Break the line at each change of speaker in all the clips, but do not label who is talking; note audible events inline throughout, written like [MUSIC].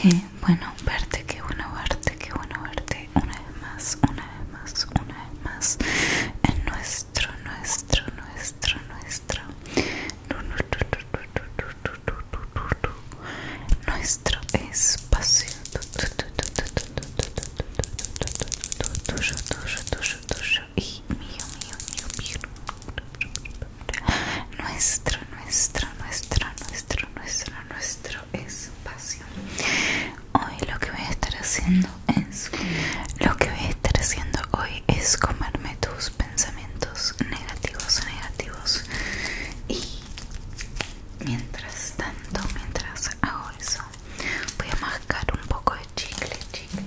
Qué bueno verte, qué bueno verte, qué bueno verte una vez más, una una vez más en nuestro, nuestro, nuestro, nuestro nuestro nuestro nuestro nuestro nuestro, y mío, mío, mío, nuestro, nuestro, nuestro, nuestro, nuestro, nuestro espacio hoy lo que voy a estar haciendo es lo que voy a estar haciendo hoy es comerme tus pensamientos negativos negativos y mientras tanto mientras hago eso voy a mascar un poco de chicle chicle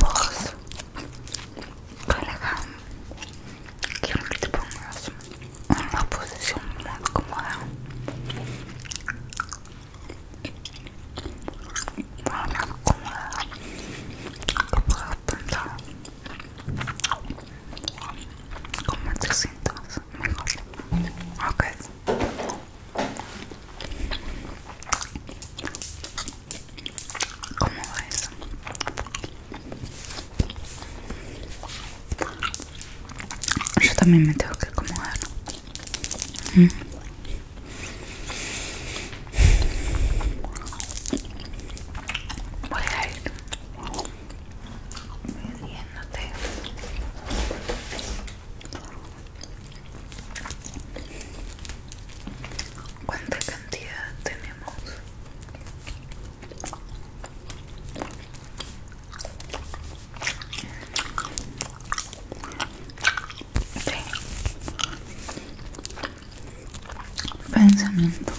Vos, colega, quiero que te pongas en una posición muy cómoda. Muy cómoda. Que puedas pensar más más Ok. ¿Cómo va eso? Yo también me tengo que acomodar. ¿Mm? Voy a ir ¿Cuánta cantidad tenemos? Pensamiento Pensamientos pues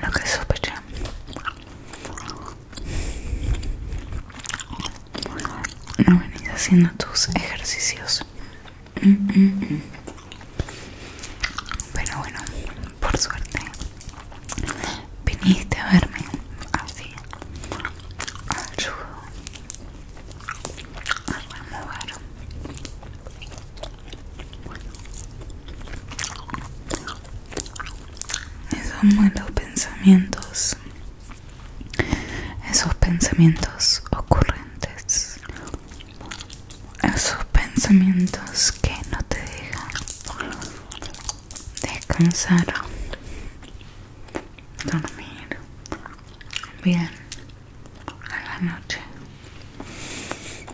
lo que sospeché no venís haciendo tus ejercicios mm, mm, mm. pero bueno por suerte viniste a verme así a esos buenos pensamientos, esos pensamientos ocurrentes, esos pensamientos que no te dejan descansar, dormir bien a la noche.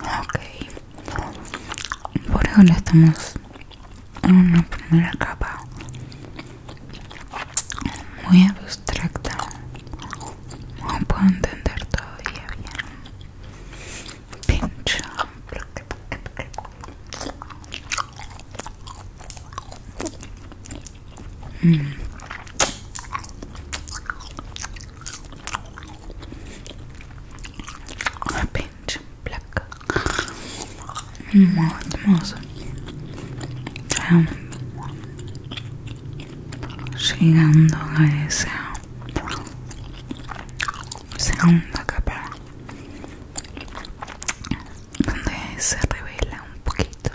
Ok, por le estamos en una primera capa muy abstracta, no puedo entender todavía bien. Pinch. Hum. Repente, placa. Muito moça. Chegando a esse segunda capa donde se revela un poquito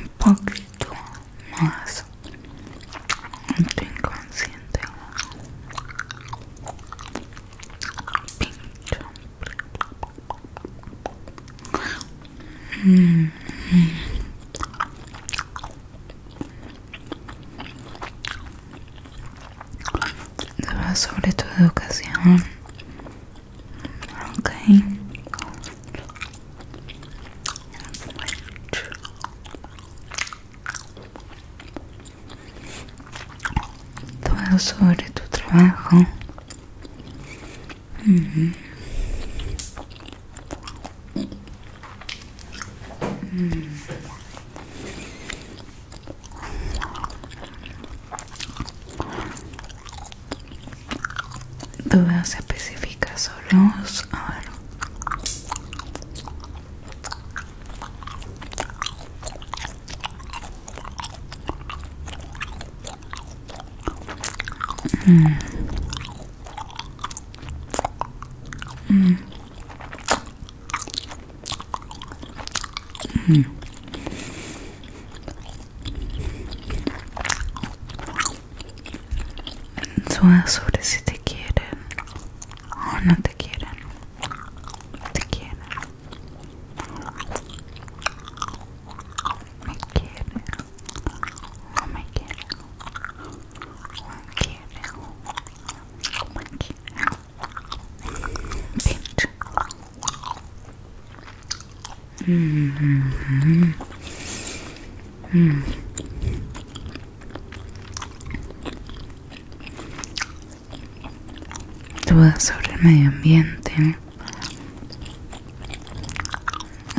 un poquito más tu inconsciente pincho mm, mm. Todo sobre tu educación. okay. Todo sobre tu trabajo. Mm. Dudas específicas sobre los... Mm. Mm. Mm. En sobre si te quieren o no te quieren. Te quieren. Me quieren. No me quieren. Me quieren. Pinch. Mm -hmm. Dudas sobre el medio ambiente.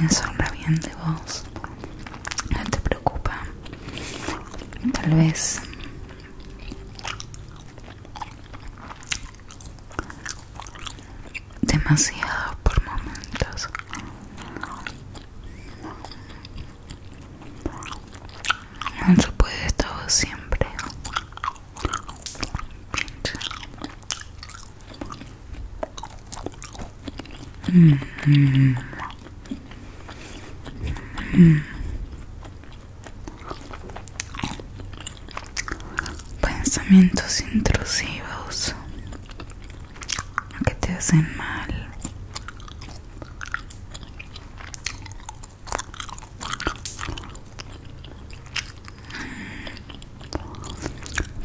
Eso habla bien de vos. No te preocupa tal vez demasiado por momentos no se puede todo siempre mm, mm, mm. Mm. Pensamientos intrusivos que te hacen mal.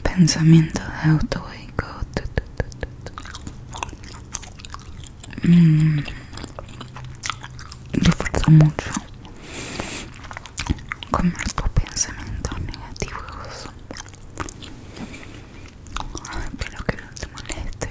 Pensamientos de mmm, falta mucho con nuestros pensamientos negativos pero que no te moleste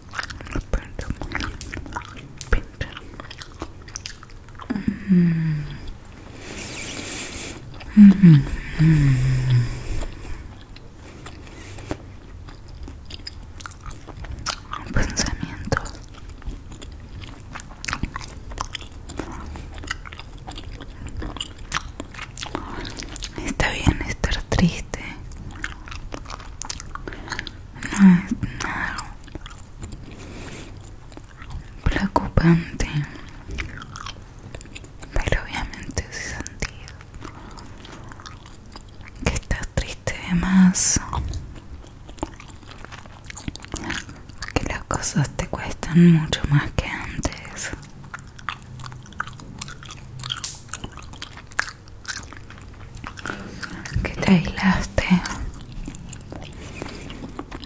pensamientos Pensamiento. Está bien estar triste nada No preocupante pero obviamente sí sentía que estás triste de más que las cosas te cuestan mucho más que antes que te aislaste. Es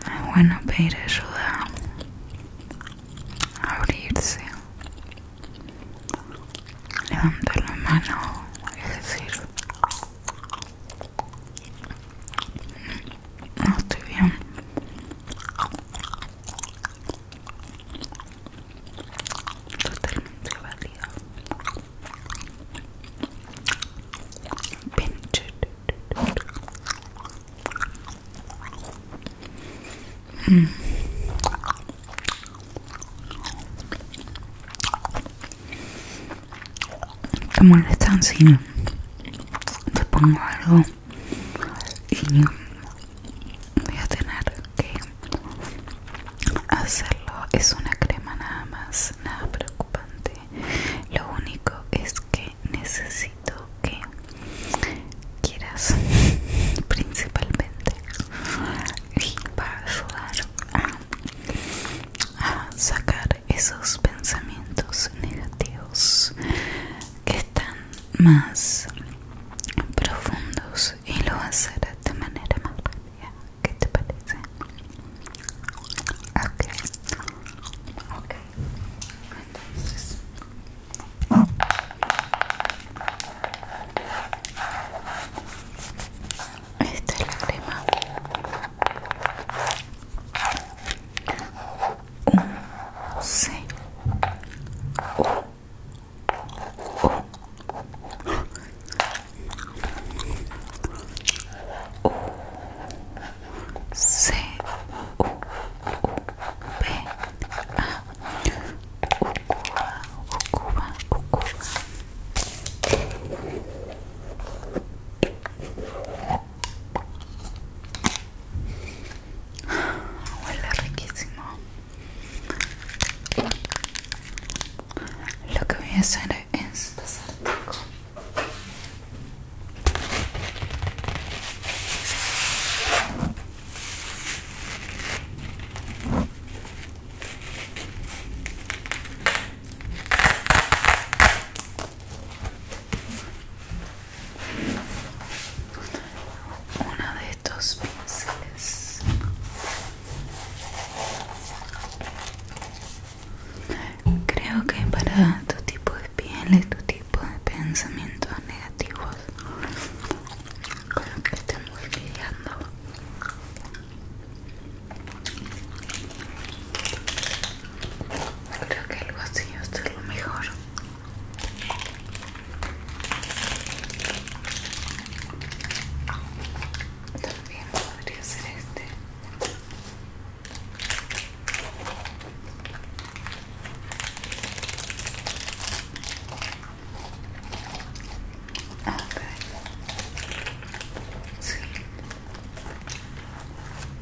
ah, bueno pedir ayuda, abrirse, levantar la mano, es decir, no estoy bien totalmente válida pinche mm. te molestan si te pongo algo y voy a tener que hacerlo es una crema nada más nada preocupante lo único es que necesito que quieras [LAUGHS] principalmente Para ayudar a sacar esos pensamientos negativos que están más profundos y lo vas a hacer de manera más rápida. ¿Qué te parece? Ok, ok. Entonces, esta es la crema. U C U U C U P A U Huele riquísimo lo que voy a hacer es pasar una de estos pinceles Creo que para tu tipo de piel y tu tipo de pensamientos negativos, creo que muy lidiando. Creo que el así es lo mejor. También podría ser este. Ah, sí.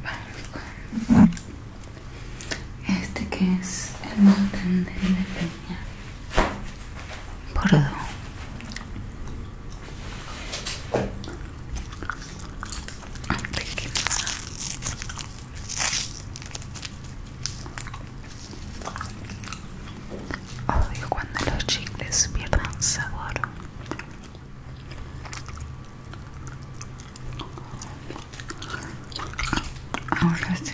Vamos con este que es el montón de la peña Bordo. Odio cuando los chicles pierdan sabor. Ahora sí.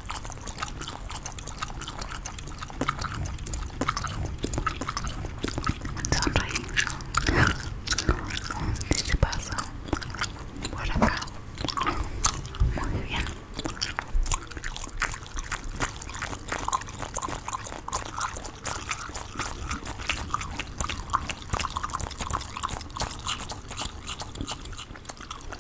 Sonreí. ¿Qué se este pasó? Por acá. Muy bien.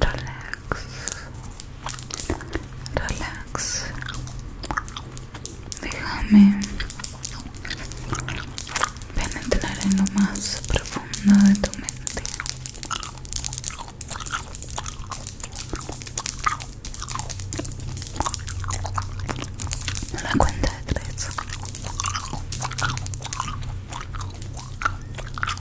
relax relax déjame penetrar en lo más profundo de tu mente la cuenta de tres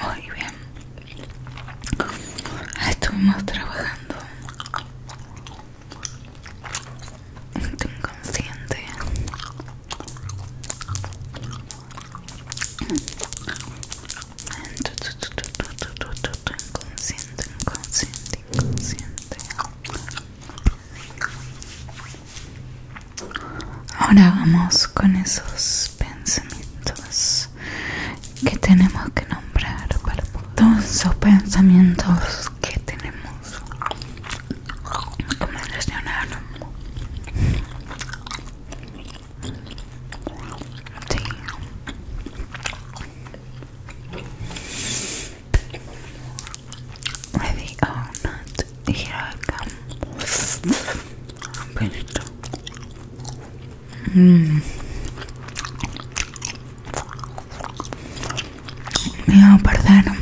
Muy bien. Estuvimos trabajando inconsciente. inconsciente, inconsciente, Siente Ahora vamos con esos pensamientos que tenemos que nombrar para todos esos pensamientos que tenemos Ready or oh, not, here I come. Mm. Me perdonaron.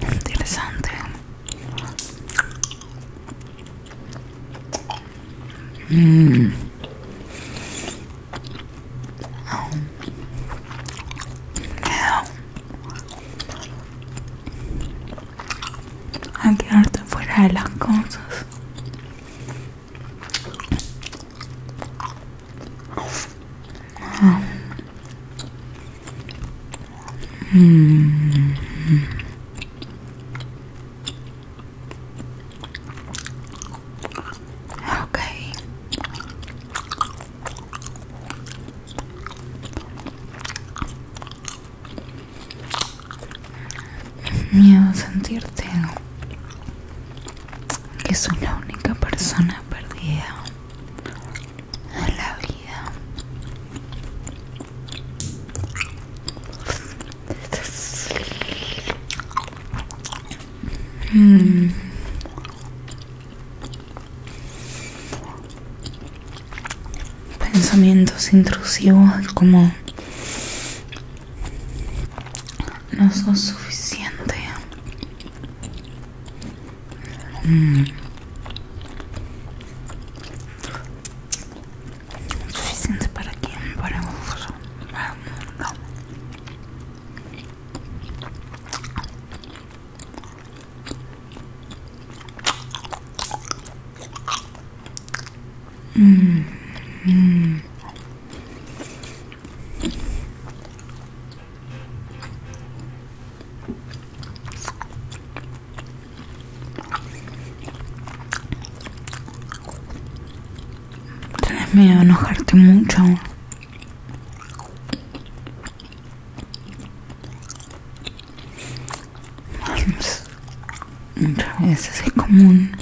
Interesante. Mm. quedarte fuera de las cosas. Ok. Miedo sentirte que soy la única persona perdida en la vida. Pensamientos intrusivos como no son suficiente. Mm suficiente para quien para no. Mmm, Tienes miedo a enojarte mucho. Muchas veces es común.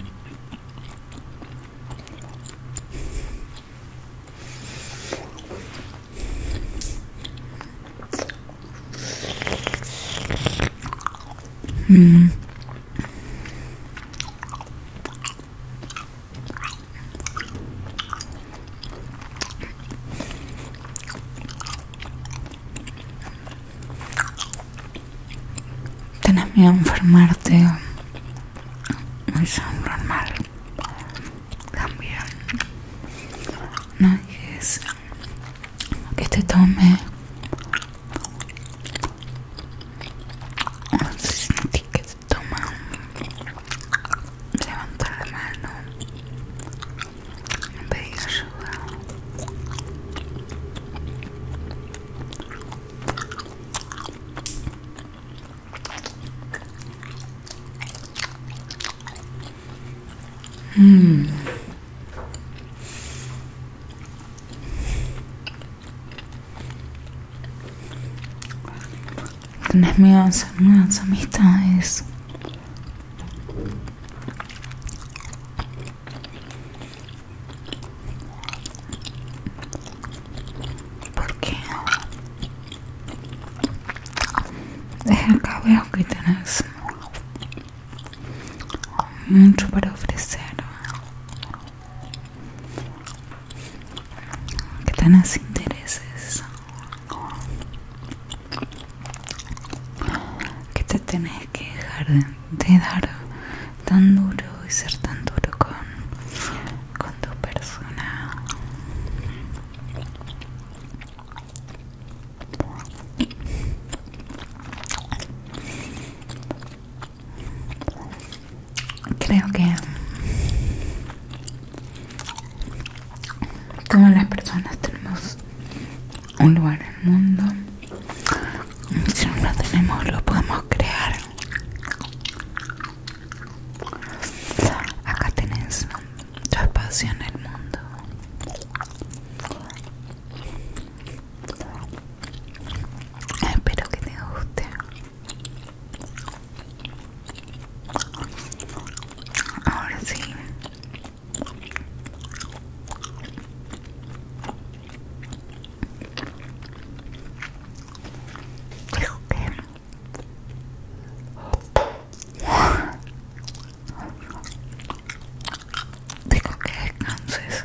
Mm. Tenés miedo a enfermarte, Muy es normal. También no es que te este tome se que se toma levanta la mano pedir ayudar Mm. Tenés miedo a hacer nuevas amistades. ¿Por qué? Es el cabello que tienes mucho para ofrecer que tenés intereses que te tenés que dejar de dar tan duro y ser tan duro con, con tu persona creo que todas las personas tenemos un lugar en el mundo si no lo tenemos lo podemos crear acá tenés tu espacio en el mundo Espero que te guste. Ahora sí. tengo que Digo que descanses